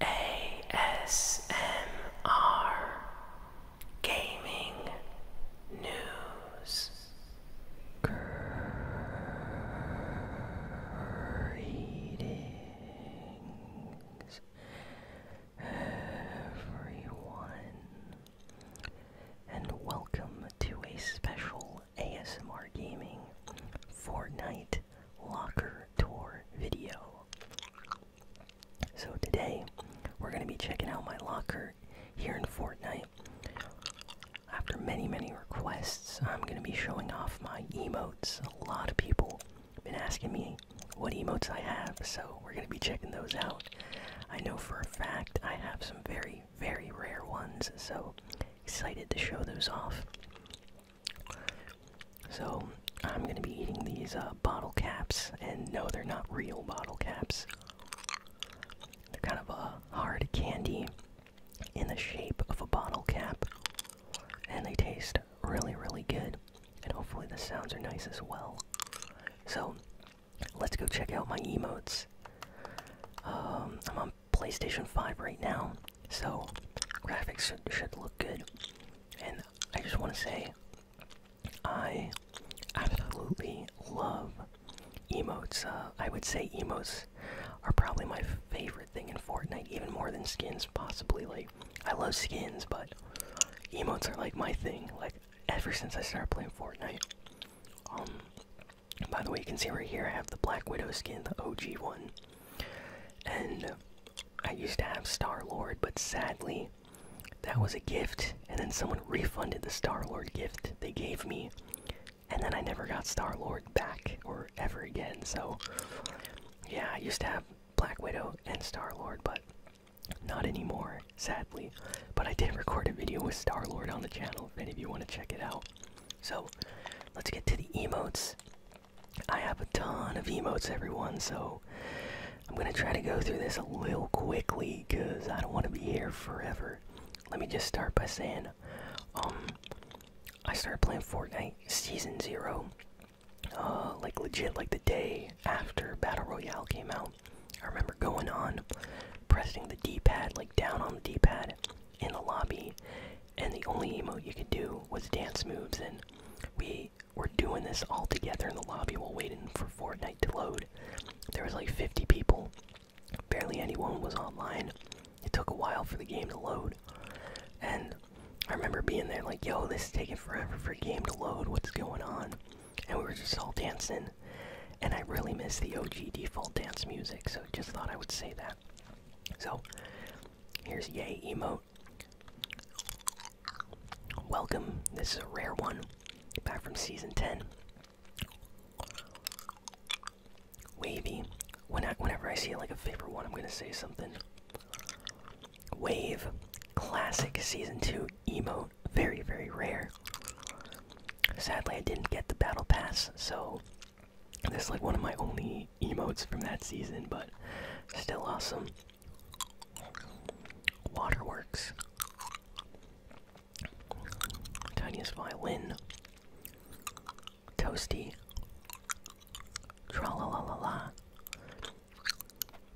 ASMR Gaming News Greetings, everyone, and welcome to a special ASMR Gaming Fortnite Locker Tour video. So, today we're going to be checking out my locker here in Fortnite. After many, many requests, I'm going to be showing off my emotes. A lot of people have been asking me what emotes I have, so we're going to be checking those out. I know for a fact I have some very, very rare ones, so excited to show those off. So, I'm going to be eating these uh, bottle caps, and no, they're not real bottle caps. They're kind of a uh, hard candy in the shape of a bottle cap, and they taste really, really good. And hopefully, the sounds are nice as well. So, let's go check out my emotes. Um, I'm on PlayStation 5 right now, so graphics should look good. And I just want to say, I absolutely love Emotes, uh, I would say emotes are probably my favorite thing in Fortnite, even more than skins, possibly. Like, I love skins, but emotes are like my thing. Like, ever since I started playing Fortnite. Um, by the way, you can see right here I have the Black Widow skin, the OG one. And I used to have Star Lord, but sadly, that was a gift, and then someone refunded the Star Lord gift they gave me and then I never got Star Lord back or ever again. So yeah, I used to have Black Widow and Star Lord, but not anymore, sadly. But I did record a video with Star Lord on the channel if any of you want to check it out. So let's get to the emotes. I have a ton of emotes, everyone, so I'm gonna try to go through this a little quickly because I don't want to be here forever. Let me just start by saying um, I started playing Fortnite Season Zero, uh, like legit, like the day after Battle Royale came out. I remember going on, pressing the D-pad, like down on the D-pad, in the lobby, and the only emote you could do was dance moves, and we were doing this all together in the lobby while waiting for Fortnite to load. There was like 50 people, barely anyone was online. It took a while for the game to load. And I remember being there like, yo, this is taking forever for a game to load. What's going on? And we were just all dancing. And I really miss the OG default dance music, so just thought I would say that. So, here's Yay Emote. Welcome. This is a rare one. Back from season 10. Wavy. whenever I see like a favorite one, I'm gonna say something. Wave. Classic season two emote. Very very rare. Sadly, I didn't get the battle pass, so this is like one of my only emotes from that season, but still awesome. Waterworks. Tiniest Violin, Toasty, Tra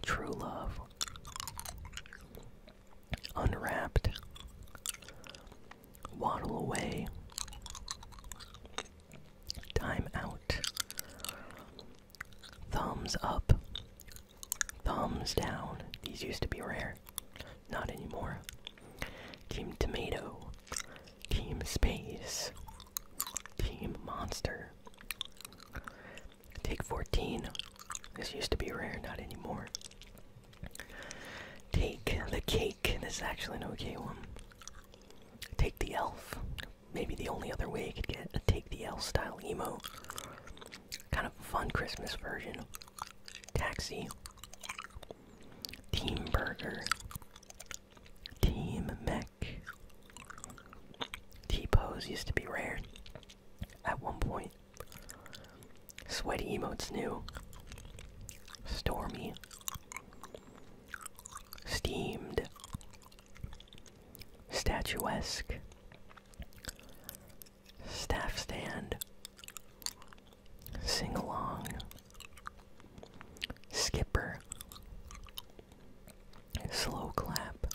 True Love, Unwrapped, Waddle Away, Time Out, Thumbs Up, Thumbs Down. These used to be rare. Not anymore. Team Tomato. Team Space. Team Monster. Take 14. This used to be rare, not anymore. Take the cake. This is actually an okay one. Take the elf. Maybe the only other way you could get a take the elf style emote. Kind of fun Christmas version. Taxi. Team Burger, Team Mech. T pose used to be rare at one point. Sweaty emotes new. Stormy. Steamed. Statuesque staff stand, sing along, skipper, slow clap,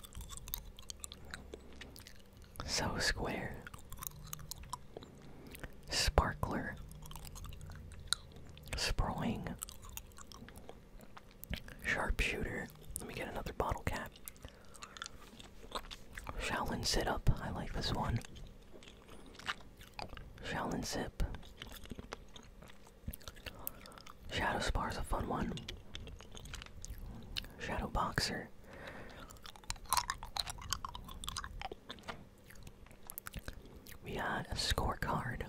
so square, sparkler, Sprawling. sharpshooter. Let me get another bottle cap. Shaolin sit up. I like this one. Shaolin sip. Shadow Spar's a fun one. Shadow Boxer. We got a scorecard.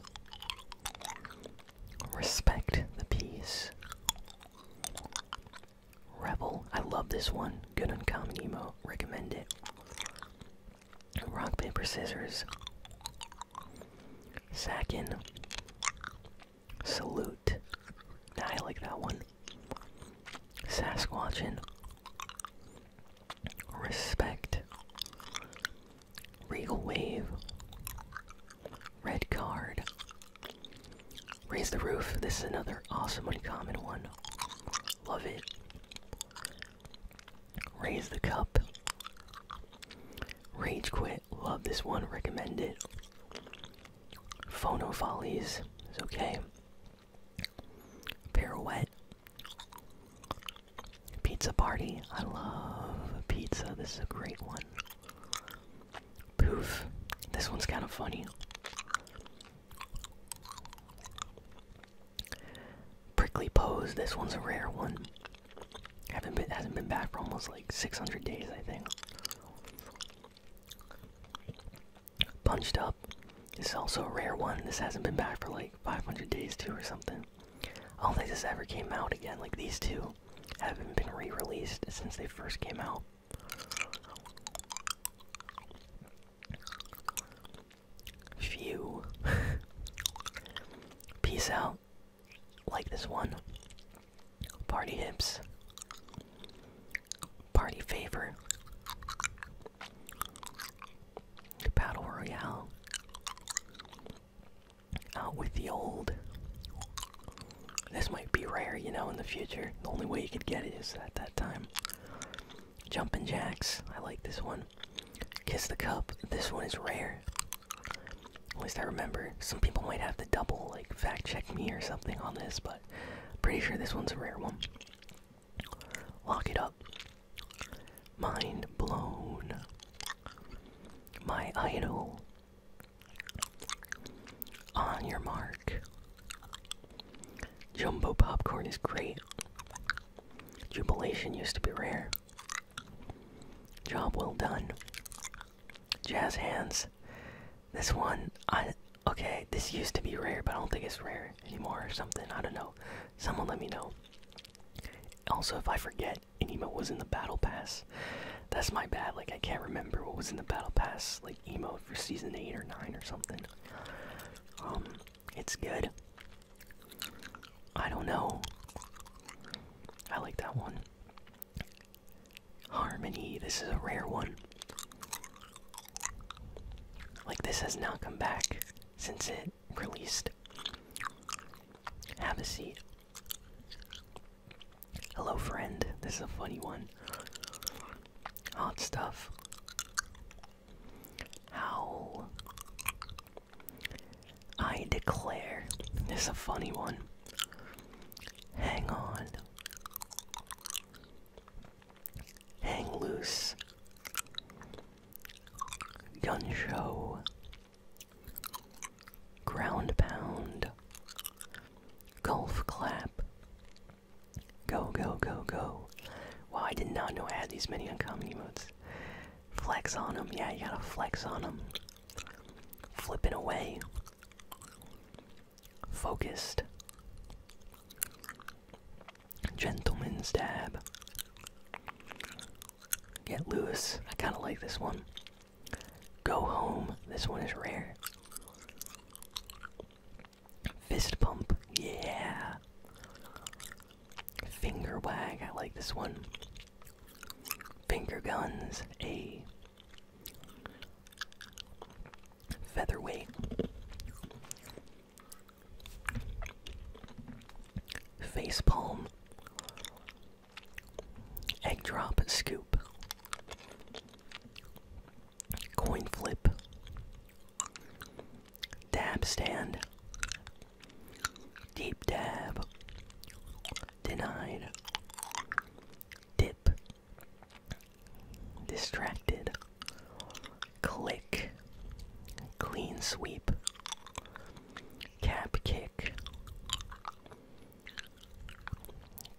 Respect the peace. Rebel. I love this one. Good on uncommon emote. Recommend it. Rock, paper, scissors. Sackin. Salute. I like that one. Sasquatchin. Respect. Regal wave. Red card. Raise the roof. This is another awesome uncommon one. Love it. Raise the cup. Rage quit. Love this one. Recommend it. Phono follies. It's okay. Pirouette. Pizza party. I love pizza. This is a great one. Poof. This one's kind of funny. Prickly Pose, this one's a rare one. Haven't been hasn't been back for almost like 600 days, I think. Punched Up, this is also a rare one. This hasn't been back for like 500 days too or something. I don't think this ever came out again. Like these two haven't been re-released since they first came out. Phew. Peace out. Like this one. Party hips. Party favor. Battle Royale. Out with the old. This might be rare, you know, in the future. The only way you could get it is at that time. Jumping Jacks, I like this one. Kiss the Cup, this one is rare. At least I remember. Some people might have to double, like, fact check me or something on this, but pretty sure this one's a rare one. Lock it up. Mind blown. My idol. On your mark. Jumbo popcorn is great. Jubilation used to be rare. Job well done. Jazz hands. This one, I. Okay, this used to be rare, but I don't think it's rare anymore or something. I don't know. Someone let me know. Also, if I forget, any emote was in the battle pass. That's my bad. Like, I can't remember what was in the battle pass. Like, like for season eight or nine or something. Um, it's good. I don't know. I like that one. Harmony, this is a rare one. Like, this has not come back since it released. Have a seat. Hello, friend. This is a funny one. Hot stuff. Howl. I declare. This is a funny one. Hang on. Hang loose. Gun show. Ground pound. Golf clap. Go, go, go, go. Wow, I did not know I had these many uncommon emotes. Flex on them. Yeah, you gotta flex on them. Flipping away. Focused. Gentleman stab. Get Lewis. I kinda like this one. Go home. This one is rare. Fist pump, yeah. Finger wag, I like this one. Finger guns, a. Featherweight. Face palm. Egg drop, scoop. Coin Flip, Dab Stand, Deep Dab, Denied, Dip, Distracted, Click, Clean Sweep, Cap Kick.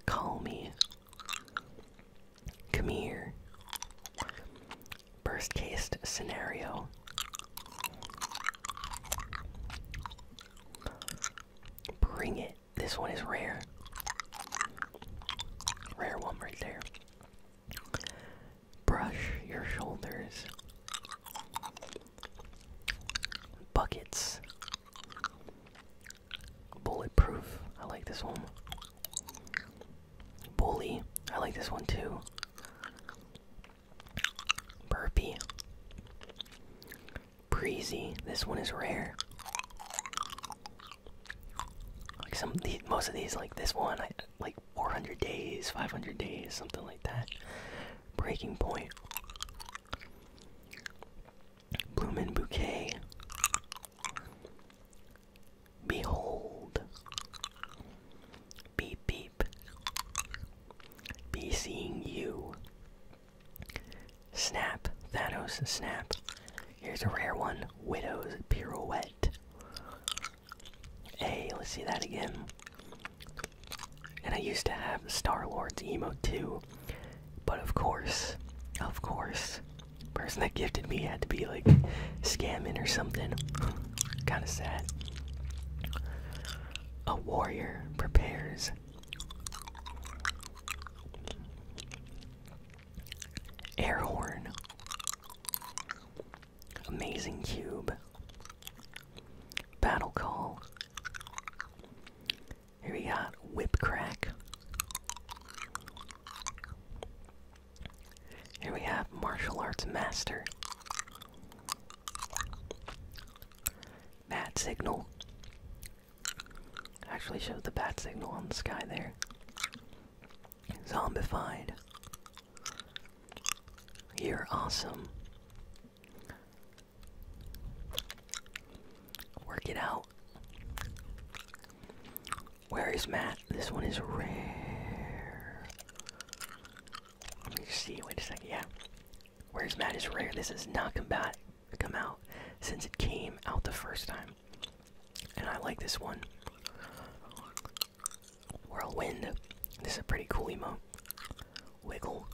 Call me Come here. worst case scenario. Bring it. This one is rare. Rare one right there. Brush your shoulders. Buckets. Bulletproof. I like this one. Bully. I like this one too. Burpy. Breezy. This one is rare. Like some, the, most of these, like this one, like 400 days, 500 days, something like that. Breaking point. Bloomin' Bouquet. Behold. Beep beep. Be seeing you. Snap. Thanos snap. Here's a rare one. Widow's pirouette. Hey, let's see that again. And I used to have Star Wars emo too. But of course, of course, person that gifted me had to be like scamming or something. kind of sad. A warrior prepares. Air Amazing cube. Battle call. Here we got Whip Crack. Here we have Martial Arts Master. Bat Signal. Actually showed the bat signal on the sky there. Zombified. You're awesome. Work it out. Where is Matt? This one is rare. Let me see. Wait a second. Yeah. Where's Matt is rare. This is not combat. come out since it came out the first time. And I like this one. Whirlwind. This is a pretty cool emote. Wiggle.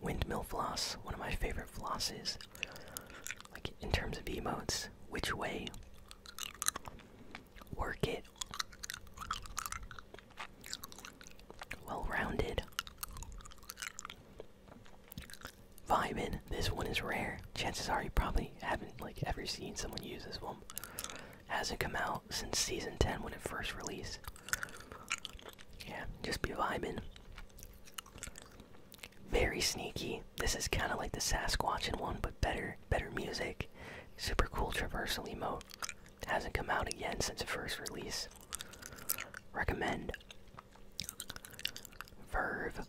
Windmill floss, one of my favorite flosses. Like in terms of emotes, which way? Work it. Well rounded. Vibin, this one is rare. Chances are you probably haven't like ever seen someone use this one. Hasn't come out since season 10 when it first released. Yeah, just be vibing. Very sneaky. This is kind of like the Sasquatch and one, but better, better music. Super cool traversal emote. Hasn't come out again since the first release. Recommend. Verve.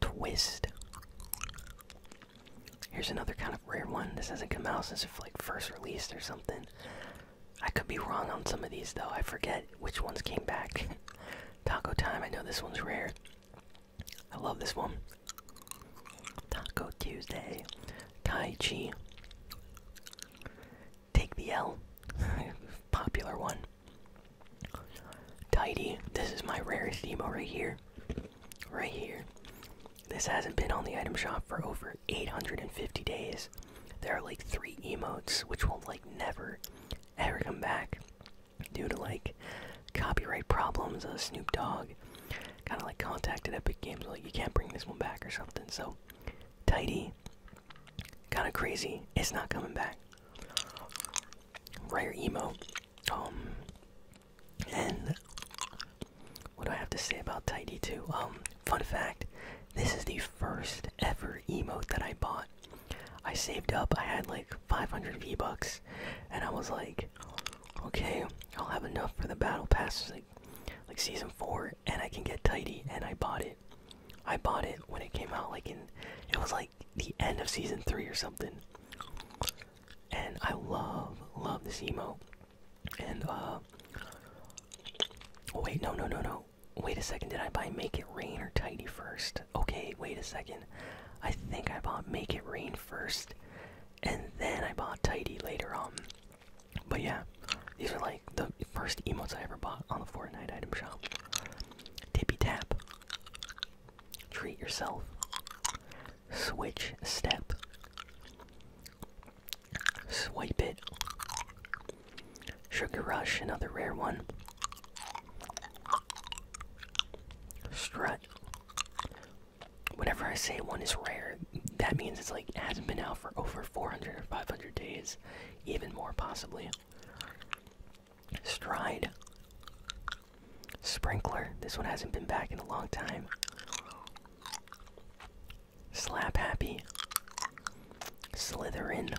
Twist. Here's another kind of rare one. This hasn't come out since it's like first released or something. I could be wrong on some of these though. I forget which ones came back. Taco time. I know this one's rare. I love this one. Taco Tuesday. Tai Chi. Take the L. Popular one. Tidy. This is my rarest emo right here. Right here. This hasn't been on the item shop for over 850 days. There are like three emotes which will like never ever come back due to like copyright problems. Uh, Snoop Dogg kind of like contacted Epic Games like you can't bring this one back or something. So tidy, kind of crazy. It's not coming back. Rare emote. Um, and what do I have to say about Tidy Two? Um, fun fact: this is the first ever emote that I bought. I saved up. I had like 500 V bucks, and I was like, okay, I'll have enough for the battle pass, like season four, and I can get Tidy. And I bought it. I bought it when it came out. Like in, it was like the end of season three or something. And I love, love this emote. And, uh. Wait, no, no, no, no. Wait a second, did I buy Make It Rain or Tidy first? Okay, wait a second. I think I bought Make It Rain first, and then I bought Tidy later on. But yeah, these are like the first emotes I ever bought on the Fortnite item shop. Tippy tap. Treat yourself switch step. Swipe it. Sugar Rush, another rare one. Strut. Whenever I say one is rare, that means it's like hasn't been out for over 400 or 500 days, even more possibly. Stride. Sprinkler. This one hasn't been back in a long time. Slap Happy, Slytherin,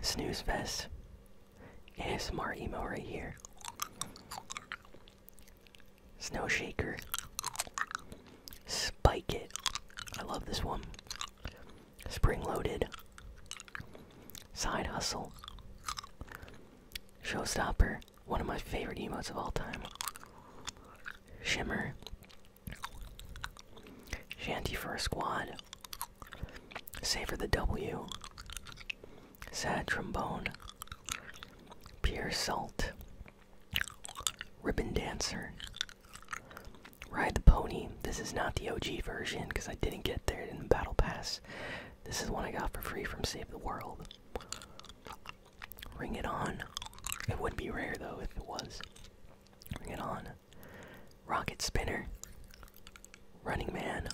Snooze Fest, ASMR emo right here, Snow Shaker, Spike It, I love this one, Spring Loaded, Side Hustle, Showstopper, one of my favorite emotes of all time. Shimmer. Shanty for a squad. Savor the W. Sad trombone. Pure salt. Ribbon dancer. Ride the pony. This is not the OG version because I didn't get there in the battle pass. This is one I got for free from Save the World. Ring it on. It would not be rare though if it was. Ring it on. Rocket Spinner. Running Man.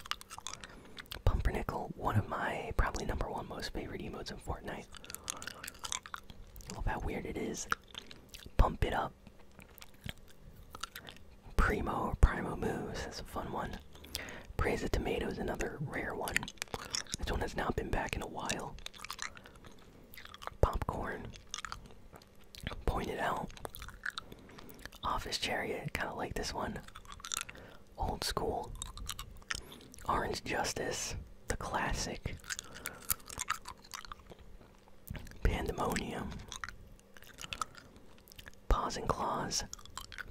Pumpernickel, one of my probably number one most favorite emotes in Fortnite. I love how weird it is. Pump it up. Primo or Primo moves, that's a fun one. Praise the tomatoes, another rare one. This one has not been back in a while. Popcorn. Pointed out. Office chariot, kinda like this one. Old school. Orange Justice, the classic. Pandemonium. Paws and Claws.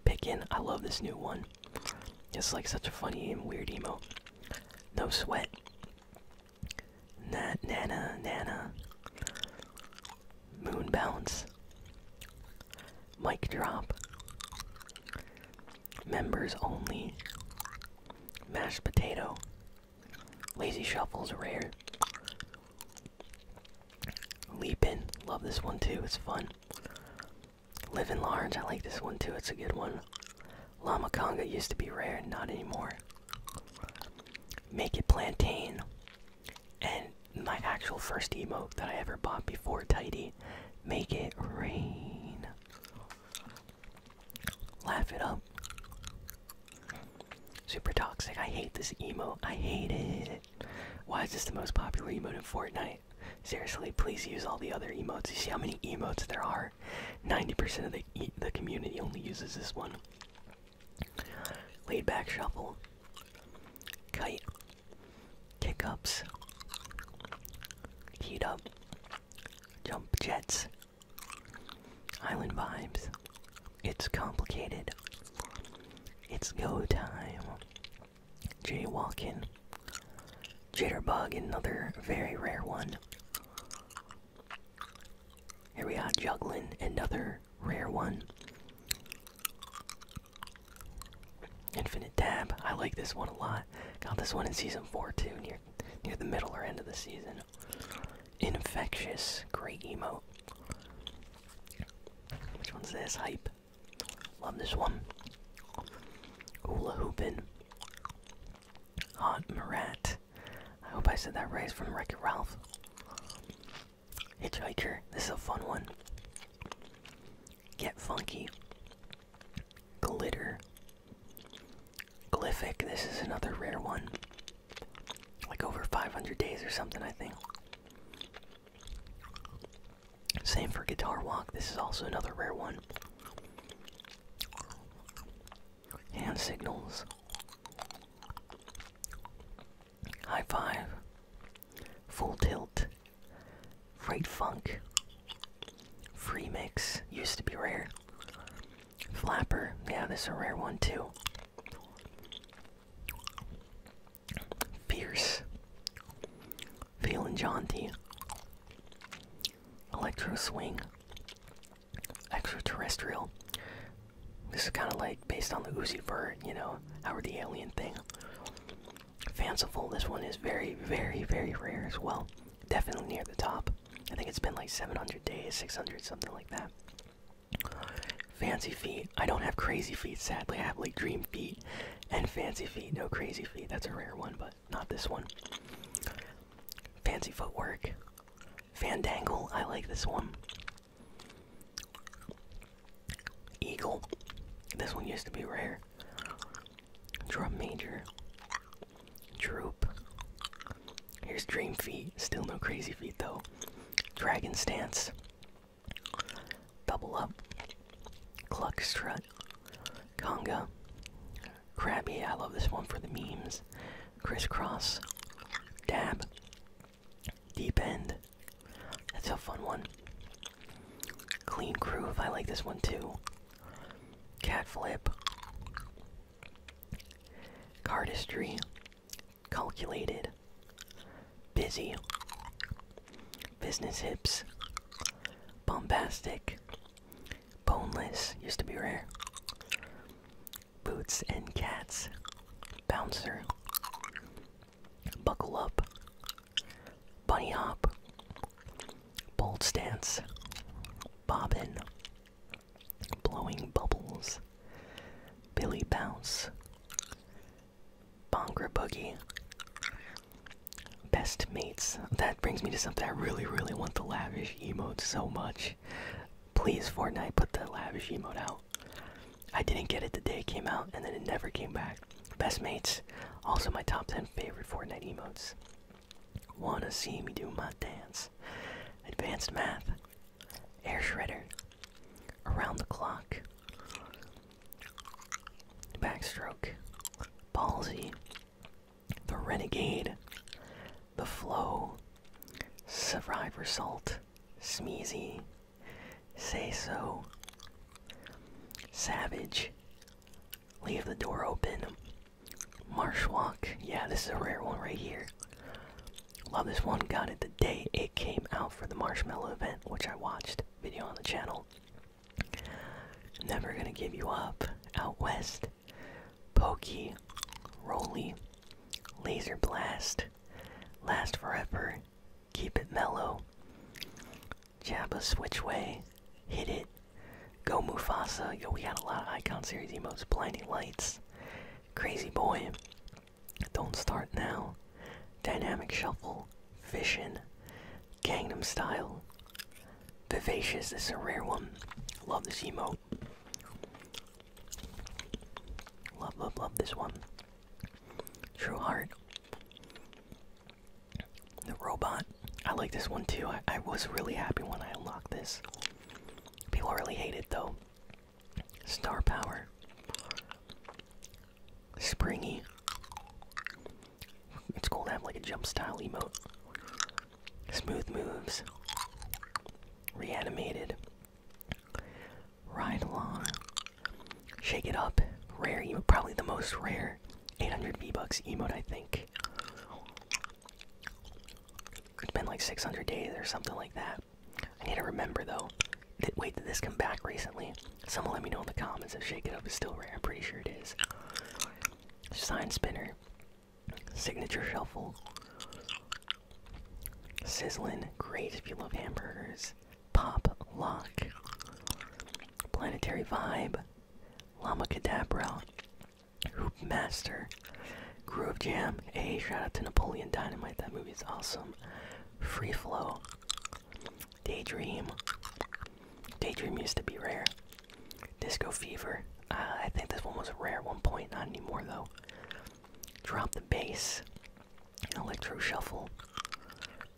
Pickin'. I love this new one. It's like such a funny and weird emote. No sweat. Na Nana Nana. Moon Bounce. Mic Drop. Members Only. Mashed Potato. Lazy Shuffle's rare. Leapin, love this one too, it's fun. Living large, I like this one too, it's a good one. Llama Conga used to be rare, not anymore. Make it plantain. And my actual first emo that I ever bought before Tidy. Make it rain. Laugh it up. Super toxic. I hate this emo. I hate it. Why is this the most popular emote in Fortnite? Seriously, please use all the other emotes. You see how many emotes there are? 90% of the, the community only uses this one. Laid back shuffle. Kite. Kick ups. Heat up. Jump jets. Island vibes. It's complicated. It's go time. Jaywalking, Jitterbug, another very rare one. Here we are, Juggling, another rare one. Infinite Dab, I like this one a lot. Got this one in Season 4 too, near, near the middle or end of the season. Infectious, great emote. Which one's this? Hype. Love this one. Hula hooping. Hot Marat. I hope I said that right. from Wreck It Ralph. Hitchhiker. This is a fun one. Get Funky. Glitter. Glyphic. This is another rare one. Like over 500 days or something, I think. Same for Guitar Walk. This is also another rare one. Hand signals. High five. Full tilt. Freight funk. Free mix. Used to be rare. Flapper. Yeah, this is a rare one too. Fierce. Feeling jaunty. Electro swing. Extraterrestrial. This is kind of like based on the Uzi Vert, you know, Howard the Alien thing. Fanciful. This one is very, very, very rare as well. Definitely near the top. I think it's been like 700 days, 600, something like that. Fancy feet. I don't have crazy feet, sadly. I have like dream feet and fancy feet. No crazy feet. That's a rare one, but not this one. Fancy footwork. Fandangle. I like this one. Eagle. This one used to be rare. Drum major. Droop. Here's dream feet. Still no crazy feet though. Dragon stance. Double Up, cluck strut, Conga, crabby. I love this one for the memes, Crisscross, Dab, Deep End, that's a fun one. Clean Groove, I like this one too. Cat Flip, Cardistry, calculated, busy, business hips, bombastic, boneless, used to be rare, boots and cats, bouncer, buckle up, bunny hop, bold stance, bobbin, blowing bubbles, billy bounce. Bongra Boogie. Best mates. That brings me to something I really, really want the lavish emote so much. Please, Fortnite, put the lavish emote out. I didn't get it the day it came out, and then it never came back. Best mates. Also, my top 10 favorite Fortnite emotes. Wanna see me do my dance? Advanced math. Air shredder. Around the clock. Backstroke. palsy, The Renegade. The Flow. Survivor Salt. Smeezy. Say so. Savage. Leave the door open. marsh walk. Yeah, this is a rare one right here. Love this one. Got it the day it came out for the marshmallow event, which I watched video on the channel. Never gonna give you up. Out west. Pokey. Roly. Laser blast. Last forever. Keep it mellow. switch way. Hit it. Go Mufasa. Yo, we got a lot of icon series emotes. Blinding lights. Crazy boy. Don't Start Now, Dynamic Shuffle, Vision, Gangnam Style, Vivacious, this is a rare one. Love this emo. Love, love, love this one. True Heart. The Robot. I like this one too. I was really happy when I unlocked this. People really hate it though. Star Power, Springy. It's cool to have like a jump style emote. Smooth moves, reanimated, ride along, shake it up. Rare probably the most rare 800 V Bucks emote, I think. It's been like 600 days or something like that. I need to remember though. that wait, did this come back recently? Someone let me know in the comments if Shake It Up is still rare. I'm pretty sure it is. Sign Spinner, Signature Shuffle, Sizzling, great if you love hamburgers. Pop Lock, Planetary Vibe, Llama Cadabra, Hoop Master, Groove Jam. Hey, shout out to Napoleon Dynamite. That movie is awesome. Free Flow. Daydream. Daydream used to be rare. Disco Fever. Uh, I think this one was rare at one point, not anymore though. Drop the Bass. Electro Shuffle.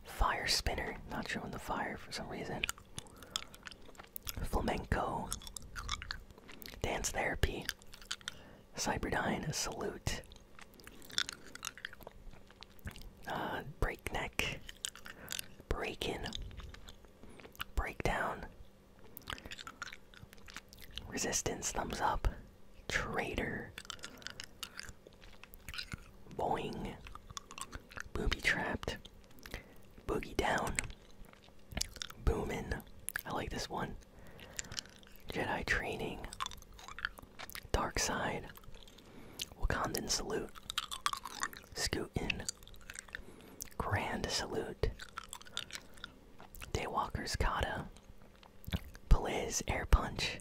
Fire Spinner. Not showing the fire for some reason. Flamenco. Dance Therapy. Cyberdyne Salute. Uh, breakneck. Break Breakdown. Resistance, thumbs up. Traitor. Boing. Booby trapped. Boogie down. Boomin. I like this one. Jedi training, dark side, Wakandan salute, Scootin, Grand salute, Daywalker's kata, Blaze air punch,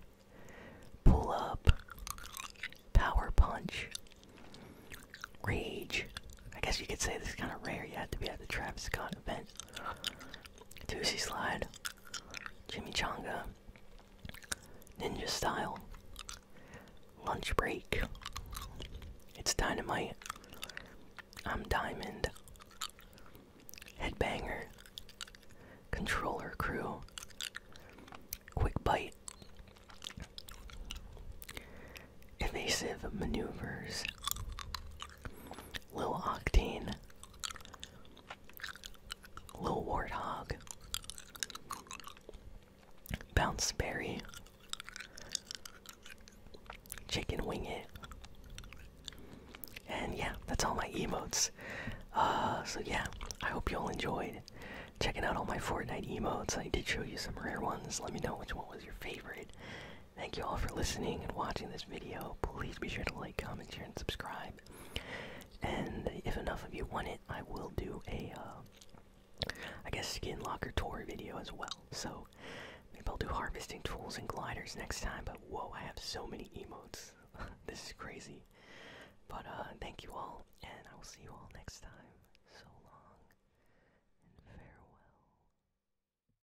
pull up, power punch, rage. I guess you could say this is kind of rare. You had to be at the Travis Scott event. Tootsie Slide, Jimmy Chimichanga, Ninja Style, Lunch Break, It's Dynamite, I'm Diamond, Headbanger, Controller Crew, Quick Bite, Evasive Maneuvers, Little Octane, Lil Warthog, Bounce Berry, Chicken Wing It. And yeah, that's all my emotes. Uh, so yeah, I hope you all enjoyed checking out all my Fortnite emotes. I did show you some rare ones. Let me know which one was your favorite. Thank you all for listening and watching this video. Please be sure to like, comment, share, and subscribe. And if enough of you want it, I will do a, uh, I guess, skin locker tour video as well. So maybe I'll do harvesting tools and gliders next time. But whoa, I have so many emotes. this is crazy. But uh, thank you all, and I will see you all next time. So long and farewell.